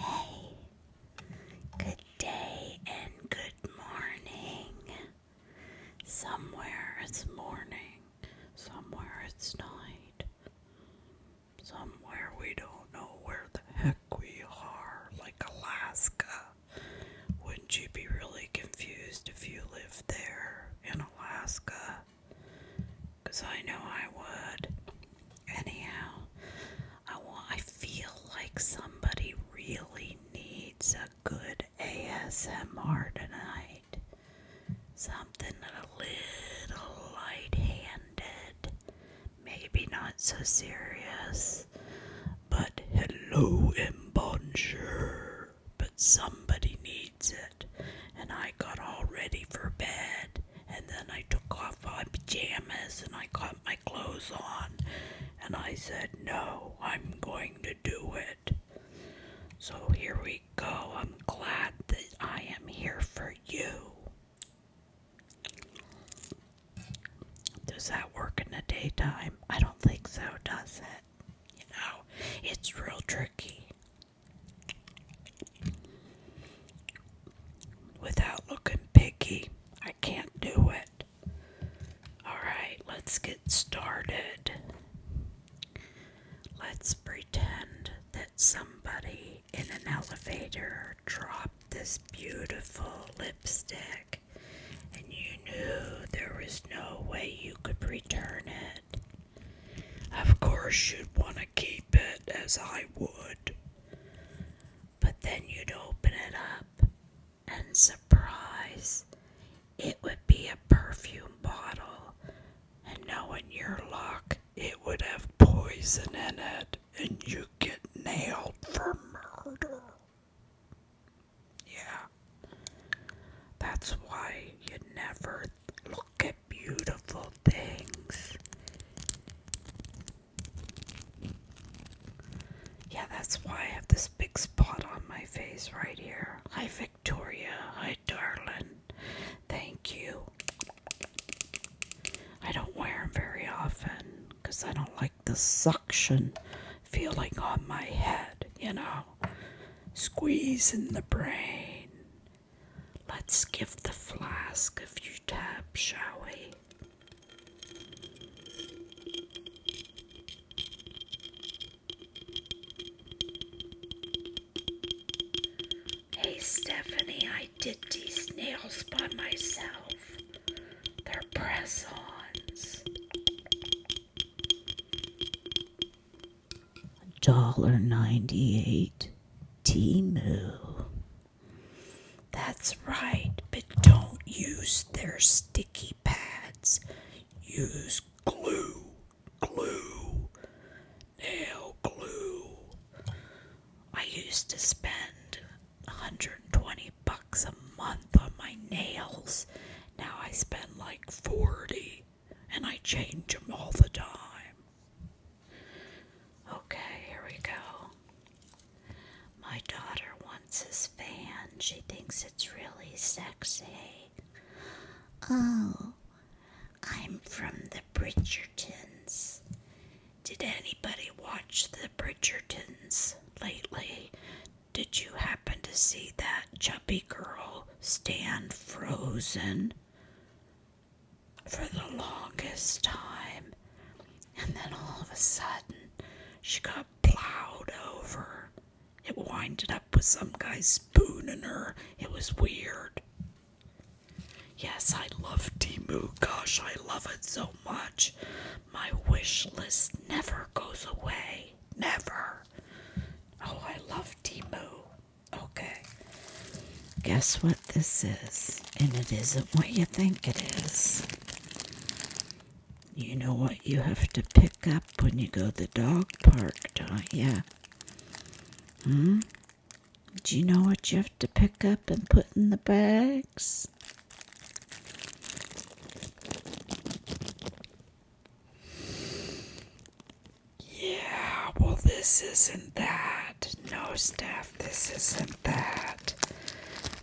Hey, good day and good morning. Somewhere it's morning, somewhere it's night somewhere we don't know where the heck we are, like Alaska. Wouldn't you be really confused if you lived there in Alaska? Because I know I would. Anyhow, I want, I feel like somebody really needs a good ASMR tonight. Something a little light handed, maybe not so serious, but hello and bonjour. But somebody needs it, and I got all ready for bed, and then I took off my pajamas and I got my clothes on, and I said, No, I'm going to do it. So here we go. I'm glad that I am here for you. Does that work in the daytime? I don't think so, does it? You know, it's real tricky. Without looking picky, I can't do it. Alright, let's get started. Let's pretend that somebody in an elevator dropped this beautiful lipstick, and you knew there was no way you could return it. Of course, you'd want to keep it as I would, but then you'd open it up, and surprise, it would be a perfume bottle, and knowing your luck, it would have poison in it and you get nailed for murder. Yeah. That's why you never look at beautiful things. Yeah, that's why I have this big spot on my face right here. Hi, Victoria. Hi, darling. Thank you. I don't wear them very often because I don't like the suction feeling on my head, you know. Squeezing the brain. Let's give the flask a few taps, shall we? Hey Stephanie, I did these nails by myself. They're press ons. Dollar ninety eight Timu. That's right, but don't use their sticky pads. Use glue, glue, nail glue. I used to spend 120 bucks a month on my nails. Now I spend like 40 and I change them all the time. Okay, here we go. My daughter wants his fan. She thinks it's really sexy. Oh, I'm from the Bridgertons. Did anybody watch the Bridgertons lately? Did you happen to see that chubby girl stand frozen for the longest time? And then all of a sudden, she got plowed over. It winded up with some guy spooning her. It was weird. Yes, I love Timu. Gosh, I love it so much. My wish list never goes away. Never. Oh, I love Timu. Okay. Guess what this is? And it isn't what you think it is. You know what you have to pick up when you go to the dog park, don't you? Hmm? Do you know what you have to pick up and put in the bags? Yeah, well, this isn't that. No, Steph, this isn't that.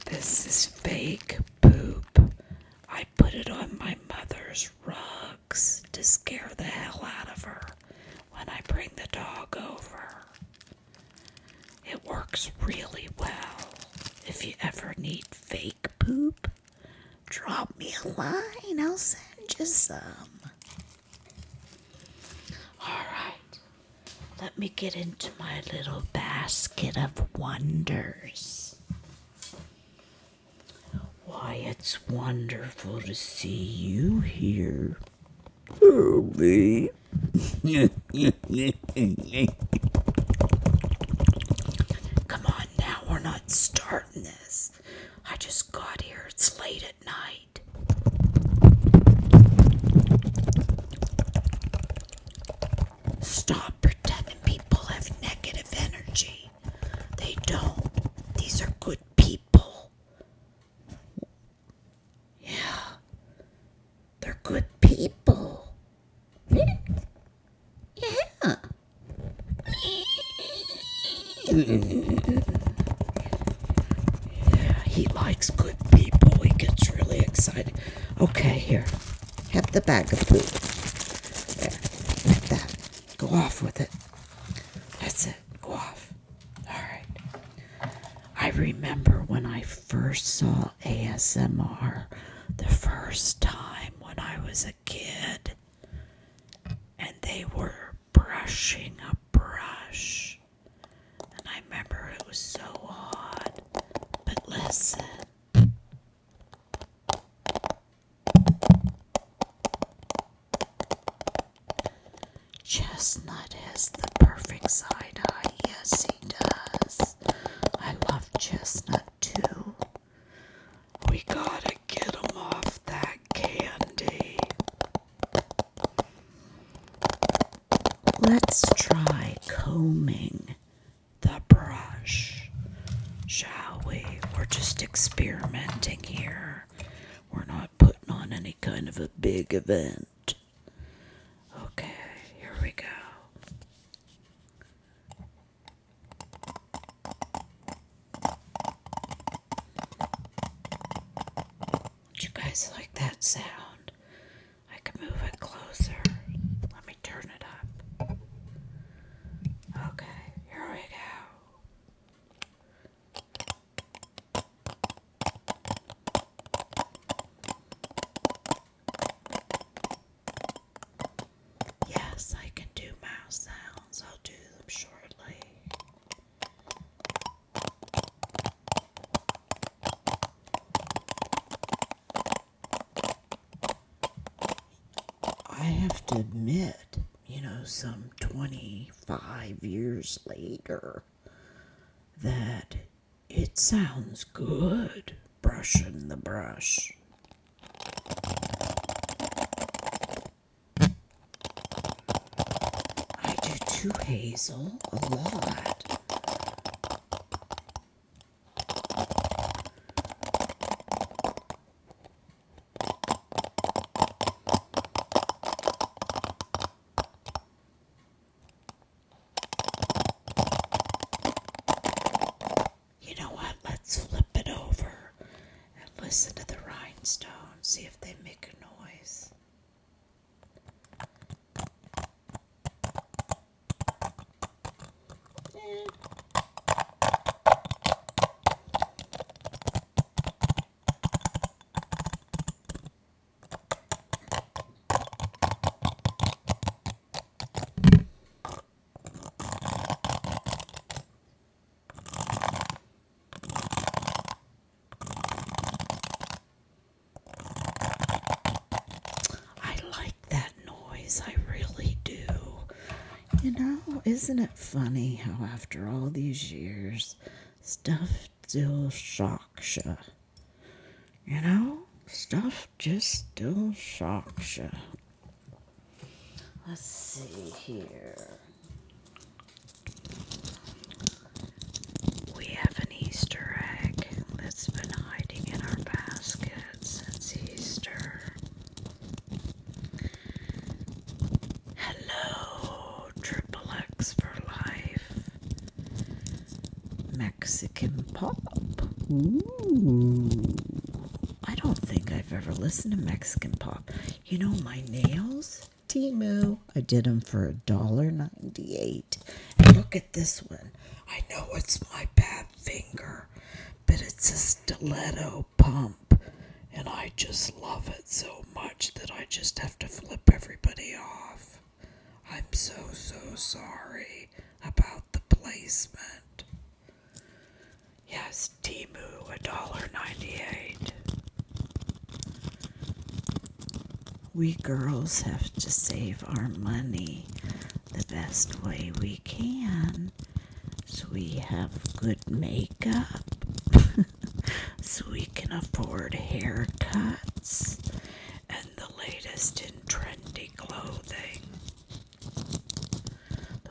This is fake poop. I put it on my mother's rugs to scare the hell out of her when I bring the dog over. It works really well. If you ever need fake poop, drop me a line. I'll send you some. Alright, let me get into my little basket of wonders. Why, it's wonderful to see you here. Ruby. Come on now, we're not starting this. I just got here, it's late at night. Stop pretending people have negative energy. They don't. These are good people. Yeah, they're good people. Yeah. yeah, he likes good people. He gets really excited. Okay, here. Have the bag of poop. There. Get that. Go off with it. That's it. Go off. All right. I remember when I first saw ASMR the first time when I was a kid, and they were brushing a brush. And I remember it was so odd. But listen. Chestnut has the perfect side eye. Yes, does. I love chestnut too. We gotta get him off that candy. Let's try combing the brush, shall we? We're just experimenting here. We're not putting on any kind of a big event. Okay, here we go. Do you guys like that sound? I can move it closer. Let me turn it up. Okay, here we go. Yes, I can do mouse sounds. I'll do them shortly. I have to admit, you know, some 25 years later, that it sounds good, brushing the brush. I do too, Hazel, a lot. You know what? Let's flip it over and listen to the rhinestones, see if they make a noise. I like that noise, I really do. You know, isn't it funny how after all these years, stuff still shocks you? You know, stuff just still shocks you. Let's see here. We have an Easter egg that's been hiding in our basket since Easter. Hello, Triple for Life. Mexican pop. I don't think I've ever listened to Mexican pop. You know, my nails, Timu, I did them for a dollar ninety-eight. Look at this one. I know it's my bad finger, but it's a stiletto pump. And I just love it so much that I just have to flip everybody off. I'm so, so sorry about the placement. Yes, Timu, ninety-eight. We girls have to save our money the best way we can so we have good makeup, so we can afford haircuts and the latest in trendy clothing.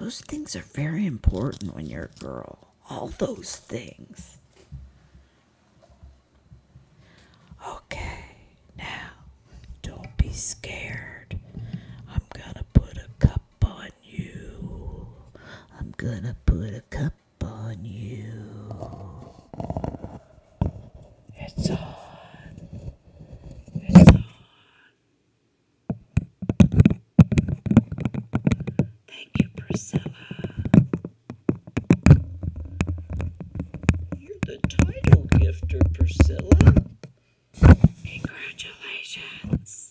Those things are very important when you're a girl. All those things. Okay, now don't be scared. I'm gonna put a cup on you. I'm gonna put a cup on you. It's on. Thank you, Priscilla. You're the title gifter, Priscilla. Congratulations.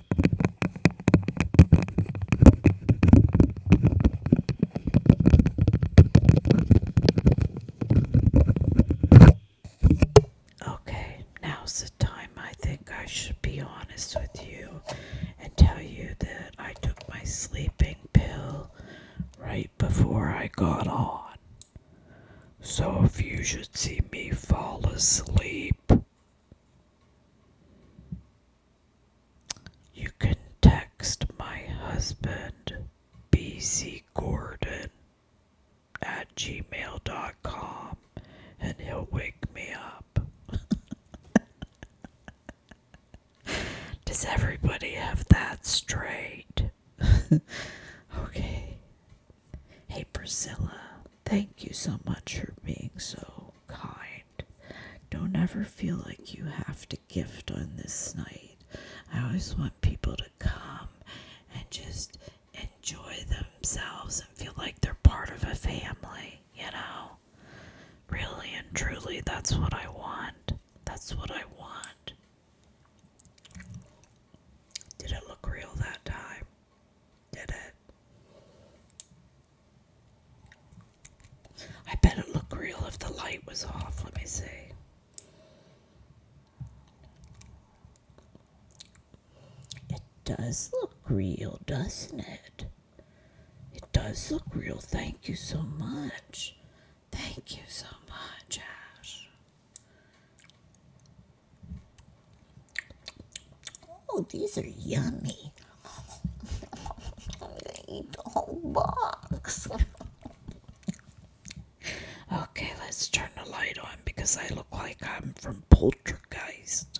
Okay, now's the time I think I should be honest with you and tell you that I took my sleeping pill right before I got on. So if you should see me fall asleep, you can text my husband, BC Gordon, at gmail.com and he'll wake me up. Does everybody have that straight? okay. Hey, Priscilla, thank you so much for being so kind. Don't ever feel like you have to gift on this night. I always want people to come and just enjoy themselves and feel like they're part of a family, you know? Really and truly, that's what I want. That's what I want. Did it look real that time? Did it? I bet it looked real if the light was off. Let me see. It does look real, doesn't it? It does look real. Thank you so much. Thank you so much, Ash. Oh, these are yummy. I'm gonna eat the whole box. okay, let's turn the light on because I look like I'm from Poltergeist.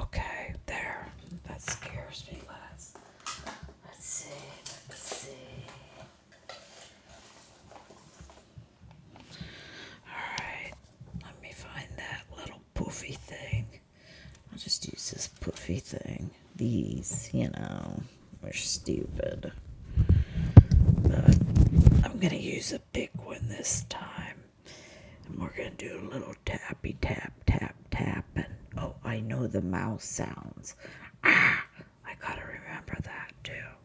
Okay, there. That scares me less. Let's see. Let's see. Alright, let me find that little poofy thing. I'll just use this poofy thing. These, you know, are stupid. But I'm going to use a big one this time. And we're going to do a little tappy tap, tap, tap. And oh, I know the mouse sounds. Ah, I got to remember that too.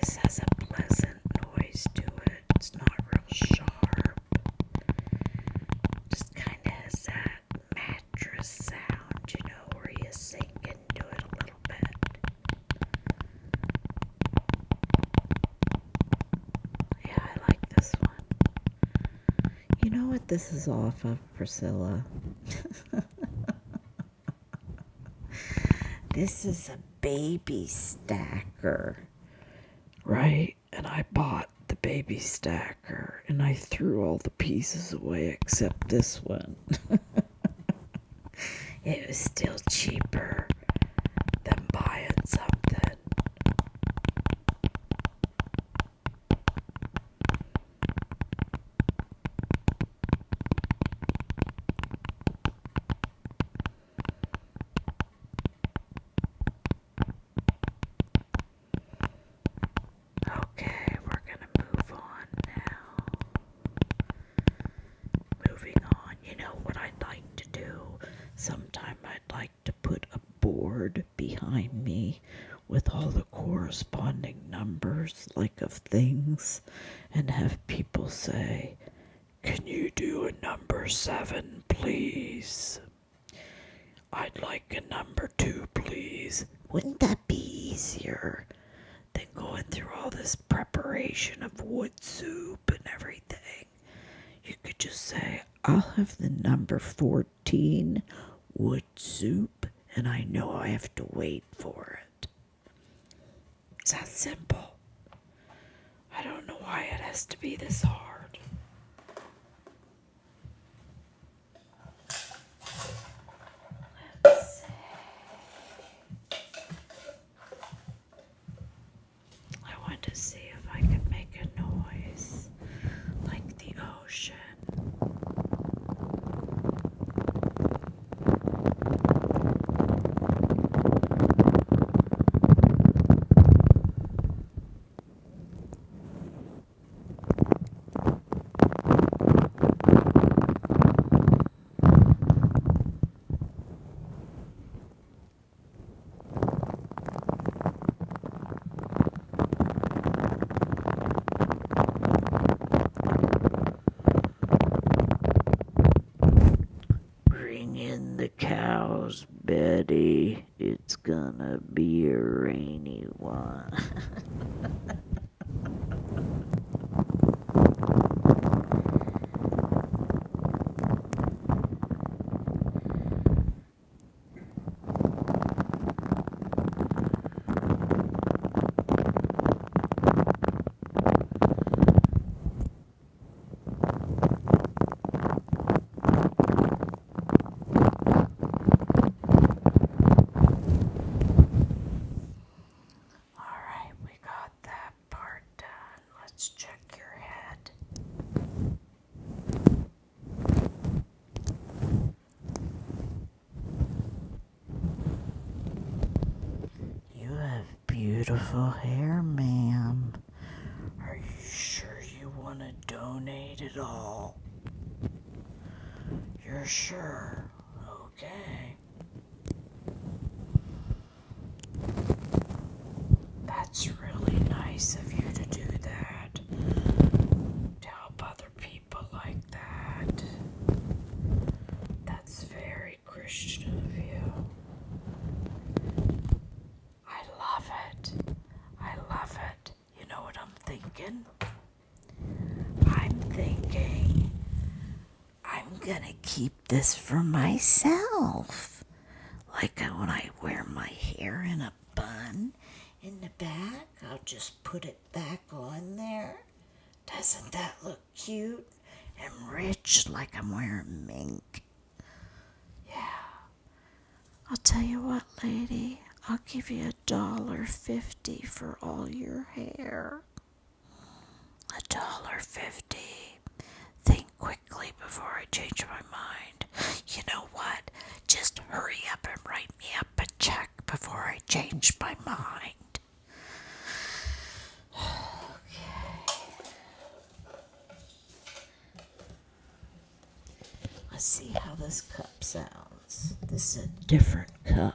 This has a pleasant noise to it. It's not real sharp. Just kind of has that mattress sound, you know, where you sink into it a little bit. Yeah, I like this one. You know what this is off of, Priscilla? this is a baby stacker, right? And I bought the baby stacker and I threw all the pieces away except this one. it was still cheaper better than buying something. Okay, we're gonna move on now. Moving on, you know what I'd like to do? Sometime I'd like to put a board behind me with all the corresponding numbers, like of things, and have people say, Can you do a number seven, please? I'd like a number two, please. Wouldn't that be easier than going through all this preparation of wood soup and everything? You could just say, I'll have the number 14 wood soup, and I know I have to wait for it. It's that simple. I don't know why it has to be this hard. Let's see. I want to see if I can make a noise like the ocean. Bring in the cows, Betty. It's gonna be a rainy one. All right, we got that part done. Let's check your head. You have beautiful hair, ma'am. Are you sure you want to donate it all? You're sure? Okay. That's really nice of you to do that. To help other people like that. That's very Christian of you. I love it. I love it. You know what I'm thinking? I'm thinking I'm gonna keep this for myself. Like when I wear my hair in a bun in the back. I'll just put it back on there. Doesn't that look cute and rich like I'm wearing mink? Yeah. I'll tell you what, lady, I'll give you a dollar fifty for all your hair. A dollar fifty. Think quickly before I change my mind. You know what? Just hurry up and write me up a check before I change my mind. Okay. Let's see how this cup sounds. This is a different cup.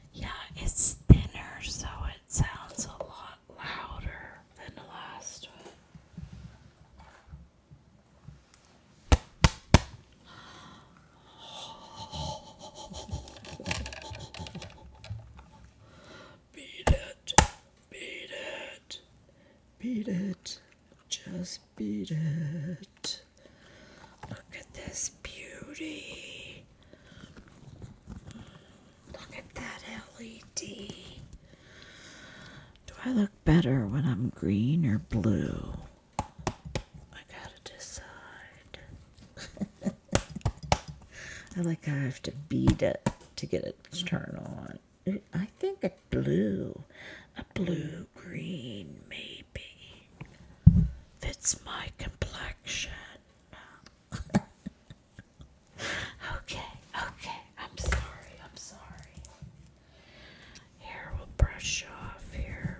Yeah, it's thinner, so it sounds a lot louder than the last one. Beat it, beat it, beat it, just beat it. Look at this beauty. Look at that LED. Do I look better when I'm green or blue? I gotta decide. I like I have to beat it to get it to turn on. I think a blue, a blue green, maybe fits my complexion. Um, okay, okay, I'm sorry, I'm sorry. Here we'll brush off here.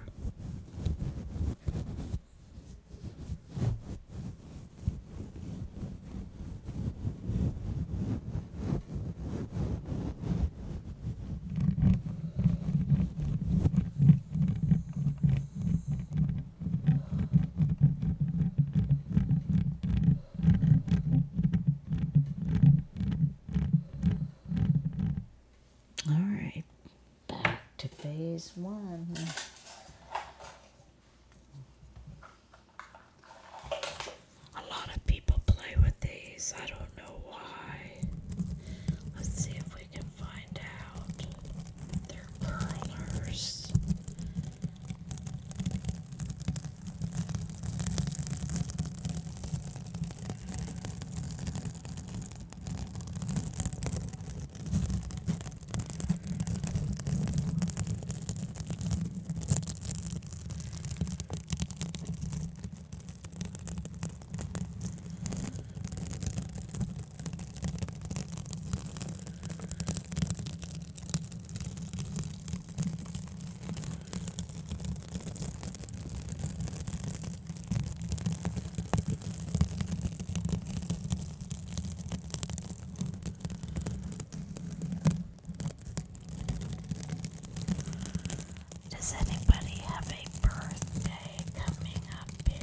All right, back to phase one. A lot of people play with these. I don't know why. Let's see if we can find out. They're curlers. Does anybody have a birthday coming up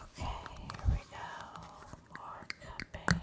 Okay, here we go. More cupping.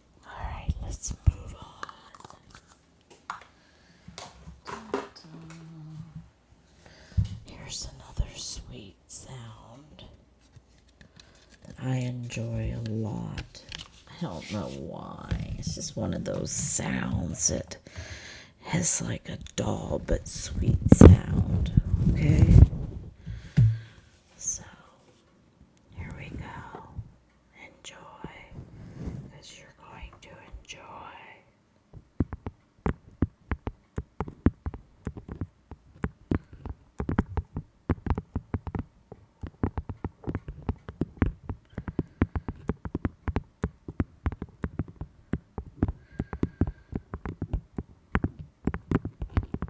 Alright, let's move on. Here's another sweet sound that I enjoy a lot. I don't know why. It's just one of those sounds that has like a dull but sweet sound. Okay? So here we go. Enjoy, because you're going to enjoy.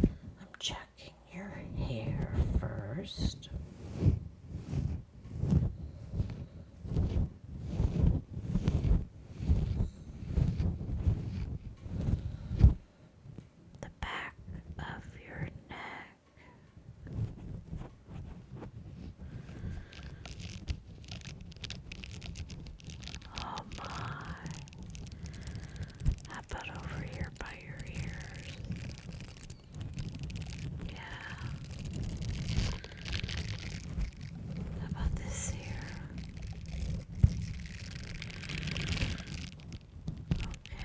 I'm checking your hair first. The back of your neck. Oh my. How about over your here by your ears. Yeah. about this ear? Okay.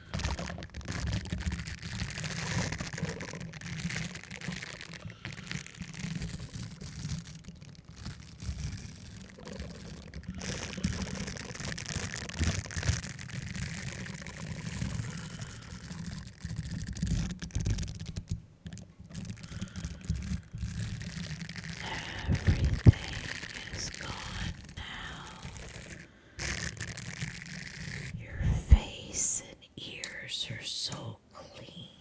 Everything is gone now. Your face and ears are so clean.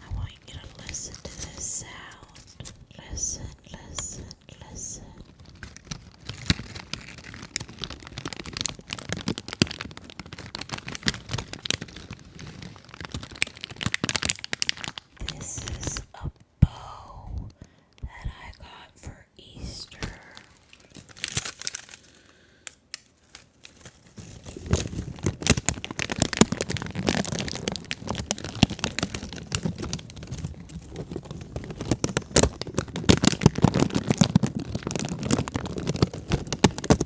I want you to listen to this sound. Listen, listen, listen. This is a bow that I got for Easter.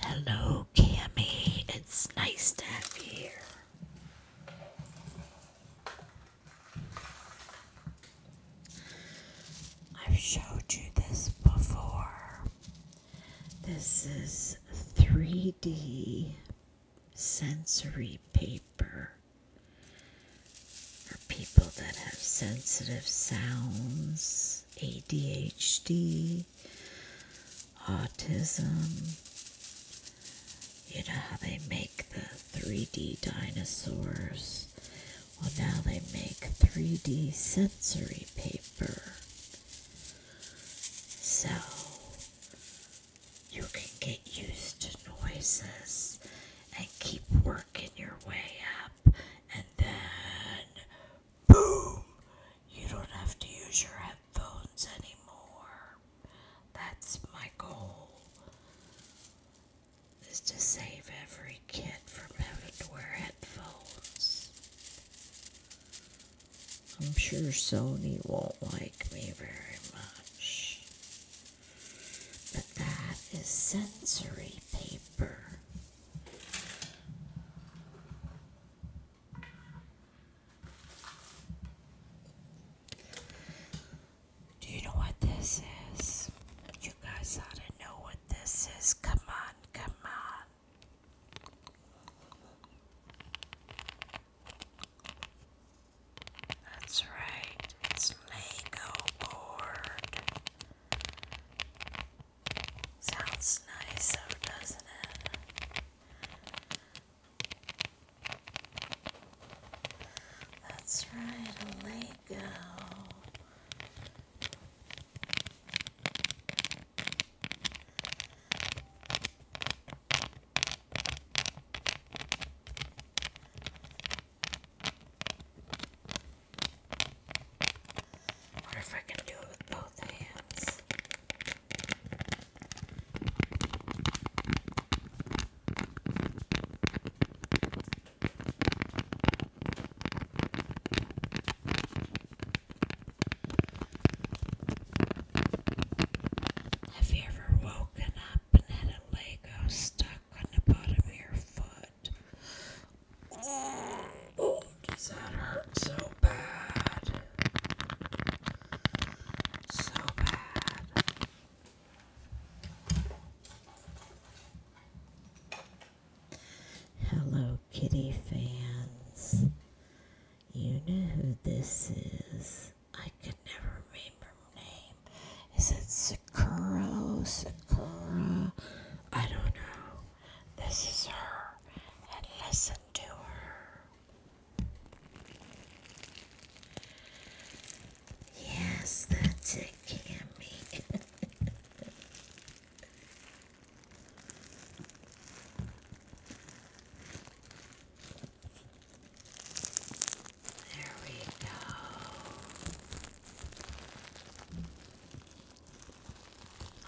Hello, Cammy. It's nice to have you here. I've showed you this before. This is 3D sensory paper for people that have sensitive sounds ADHD, autism. You know how they make the 3D dinosaurs? Well, now they make 3D sensory paper. So you can get used to noises and keep working your way up, and then Boom! You don't have to use your headphones anymore. That's my goal. Is to save every kid from having to wear headphones. I'm sure Sony won't like me very much. But that is sensory paper. Do you know what this is? You guys ought to know what this is. Come on, come on. That's right, it's Lego board. Sounds nice, though, doesn't it? That's right, a Lego. What if I can do it with both hands? Have you ever woken up and had a Lego stuck on the bottom of your foot does that hurt so bad? So bad. Hello, kitty fans. You know who this is. I could never remember her name. Is it Sakura? Sakura? I don't know. This is her, and listen to her. Yes, that's it, Cammy. there we go.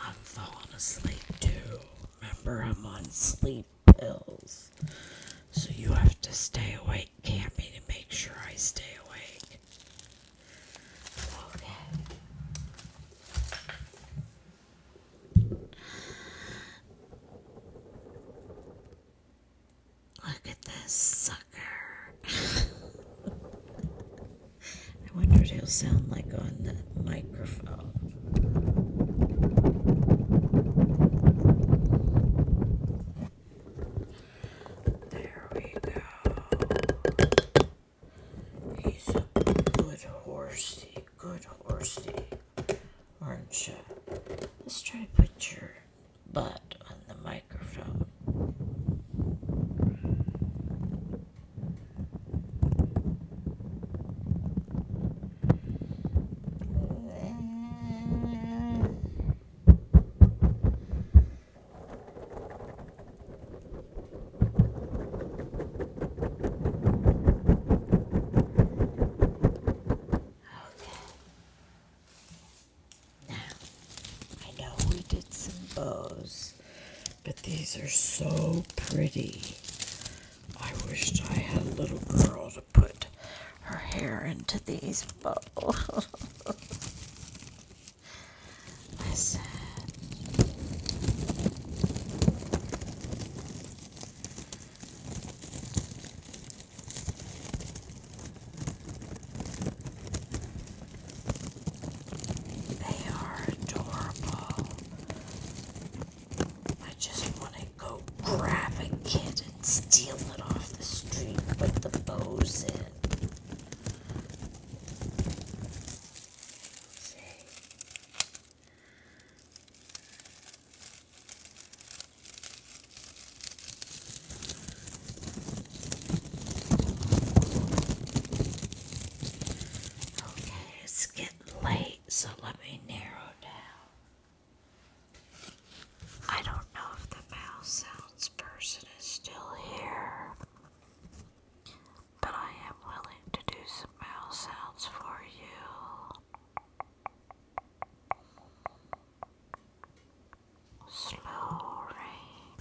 I'm falling asleep too. Remember, I'm on sleep pills. So you have to stay awake, Cammy, to make sure I stay awake. Okay. Look at this sucker. I wonder what he'll sound like on the microphone. There we go. He's a good horsey, good horsey, aren't you? Let's try to put your butt on the microphone now I know we did some bows but these are so pretty. I wished I had a little girl to put her hair into these bows. Listen. They are adorable. I just want to go grab a steal it off the street with the bows in. Okay, it's getting late, so let me narrow down. I don't know if the mouse sounds person is still here, but I am willing to do some mouse sounds for you. Slow rain.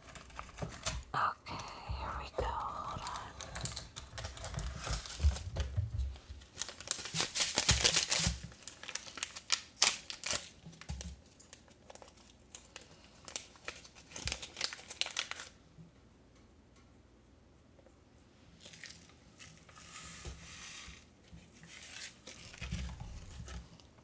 Okay, here we go. Hold on.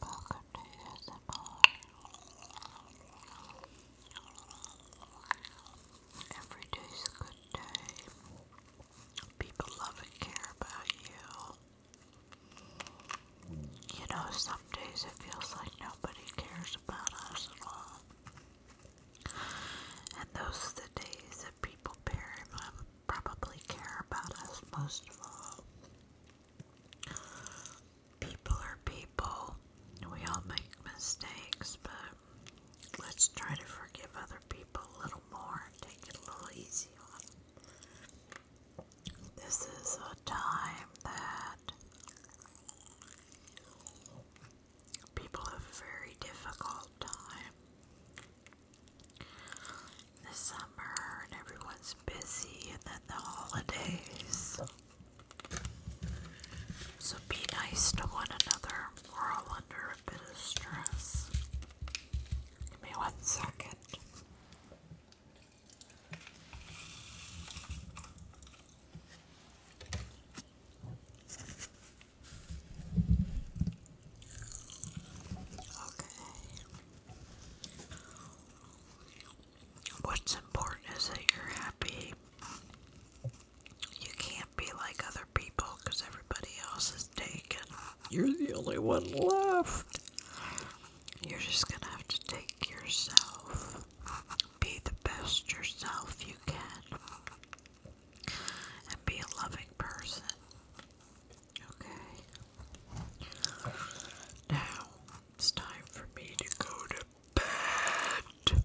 Welcome to ASMR. Every day's a good day. People love and care about you. You know, some days it feels like nobody cares about us at all. And those are the days that people bury my probably care about us most of all. People are people. We all make mistakes, but let's try to forgive other people a little more and take it a little easy on This is a time that people have a very difficult time the summer and everyone's busy, and then the holidays. So be nice to one another. or I'll under a bit of stress. Give me one second. Okay. What's important is that you're happy. You can't be like other people because everybody else is taken. You're the only one left. You're just going to have to take yourself. Be the best yourself you can. And be a loving person. Okay. Now it's time for me to go to bed.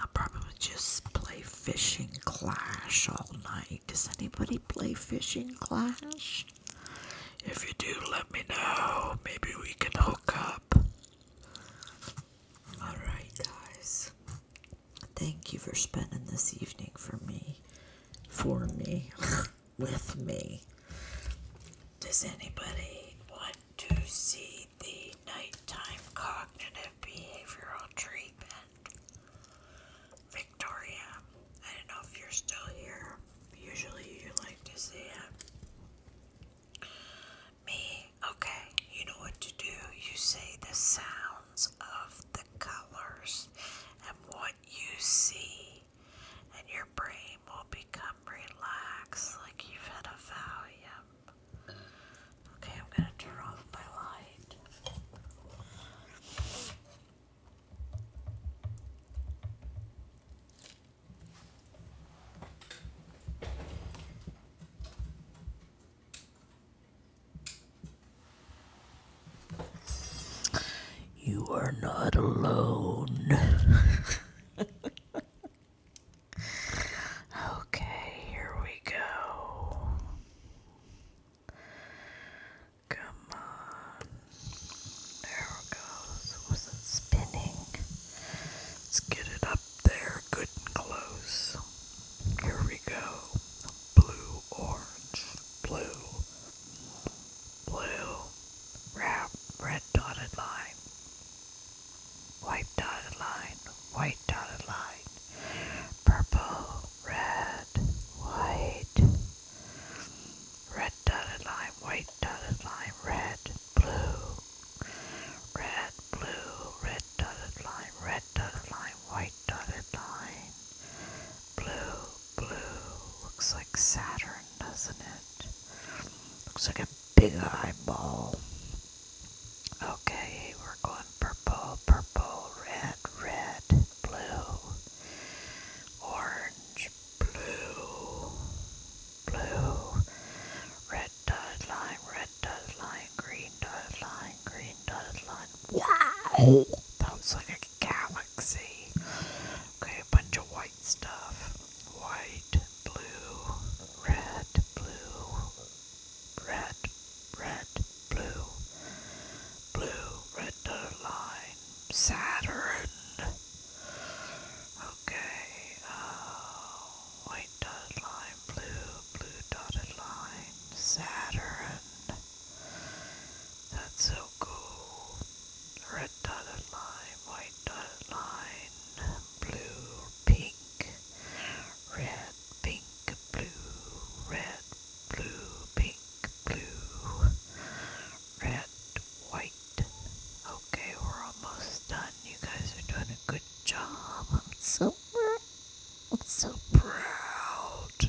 I'll probably just play Fishing Clash all night. Does anybody play Fishing Clash? If you do, let me know. Maybe we can hook up. Alright, guys. Thank you for spending this evening for me for me, with me. Does anybody want to see the nighttime cognitive behavioral treatment? Victoria, I don't know if you're still here. Usually you like to see it. Me, okay, you know what to do. You say the sounds of the colors and what you see, and your brain will become relaxed like you've had a Valium. Okay, I'm going to turn off my light. You are not alone. okay, here we go. Come on. There it goes. Was it spinning? Let's get it up there good and close. Here we go. Blue, orange, blue, blue, wrap, red dotted line, white dotted line, white dotted line, purple, red, white, red dotted line, white dotted line, red, blue, red, blue, red dotted line, red dotted line, white dotted line, Blue, blue, looks like Saturn, doesn't it? Looks like a big eyeball. Okay, we're going purple, purple, red, red, blue, orange, blue, blue, red dotted line, red dotted line, green dotted line, green dotted line. Wow! That was like a galaxy. Okay, a bunch of white stuff. White, blue, red, blue, red, red, blue, blue, red dotted line, Saturn. Okay, uh, white dotted line, blue, blue dotted line, Saturn. That's so cool. Red dotted line, white dotted line, blue, pink, red, pink, blue, red, blue, pink, blue, red, white. Okay, we're almost done. You guys are doing a good job. I'm so I'm so proud.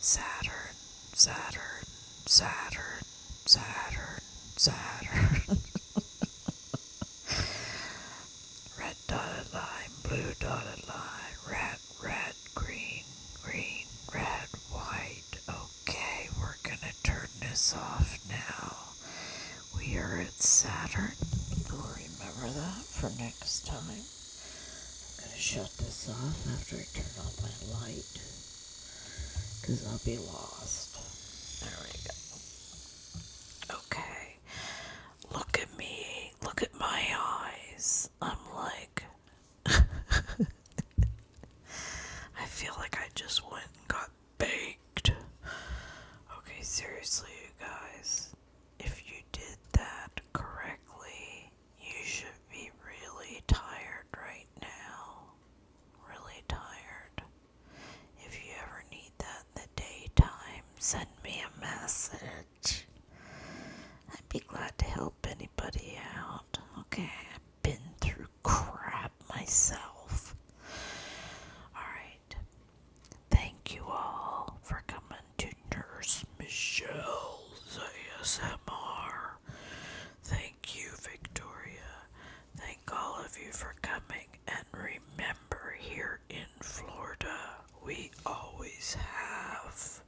Saturn, Saturn, Saturn, Saturn, Saturn. red dotted line, blue dotted line, red, red, green, green, red, white. Okay, we're gonna turn this off now. We are at Saturn. remember that for next time. I'm gonna shut this off after I turn on my light. Cause I'll be lost. There we go. Okay. Look at me. Look at my eyes. I'm like I feel like I just went and got baked. Okay, seriously, you guys. If you did that correctly, you should be really tired right now. Really tired. If you ever need that in the daytime, send me a message. I'd be glad to help anybody out. Okay, I've been through crap myself. Alright. Thank you all for coming to Nurse Michelle's ASMR. Thank you, Victoria. Thank all of you for coming. And remember, here in Florida, we always have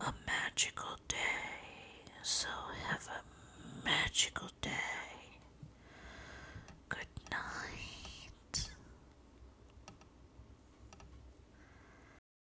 a magical day. So have a magical day. Good night.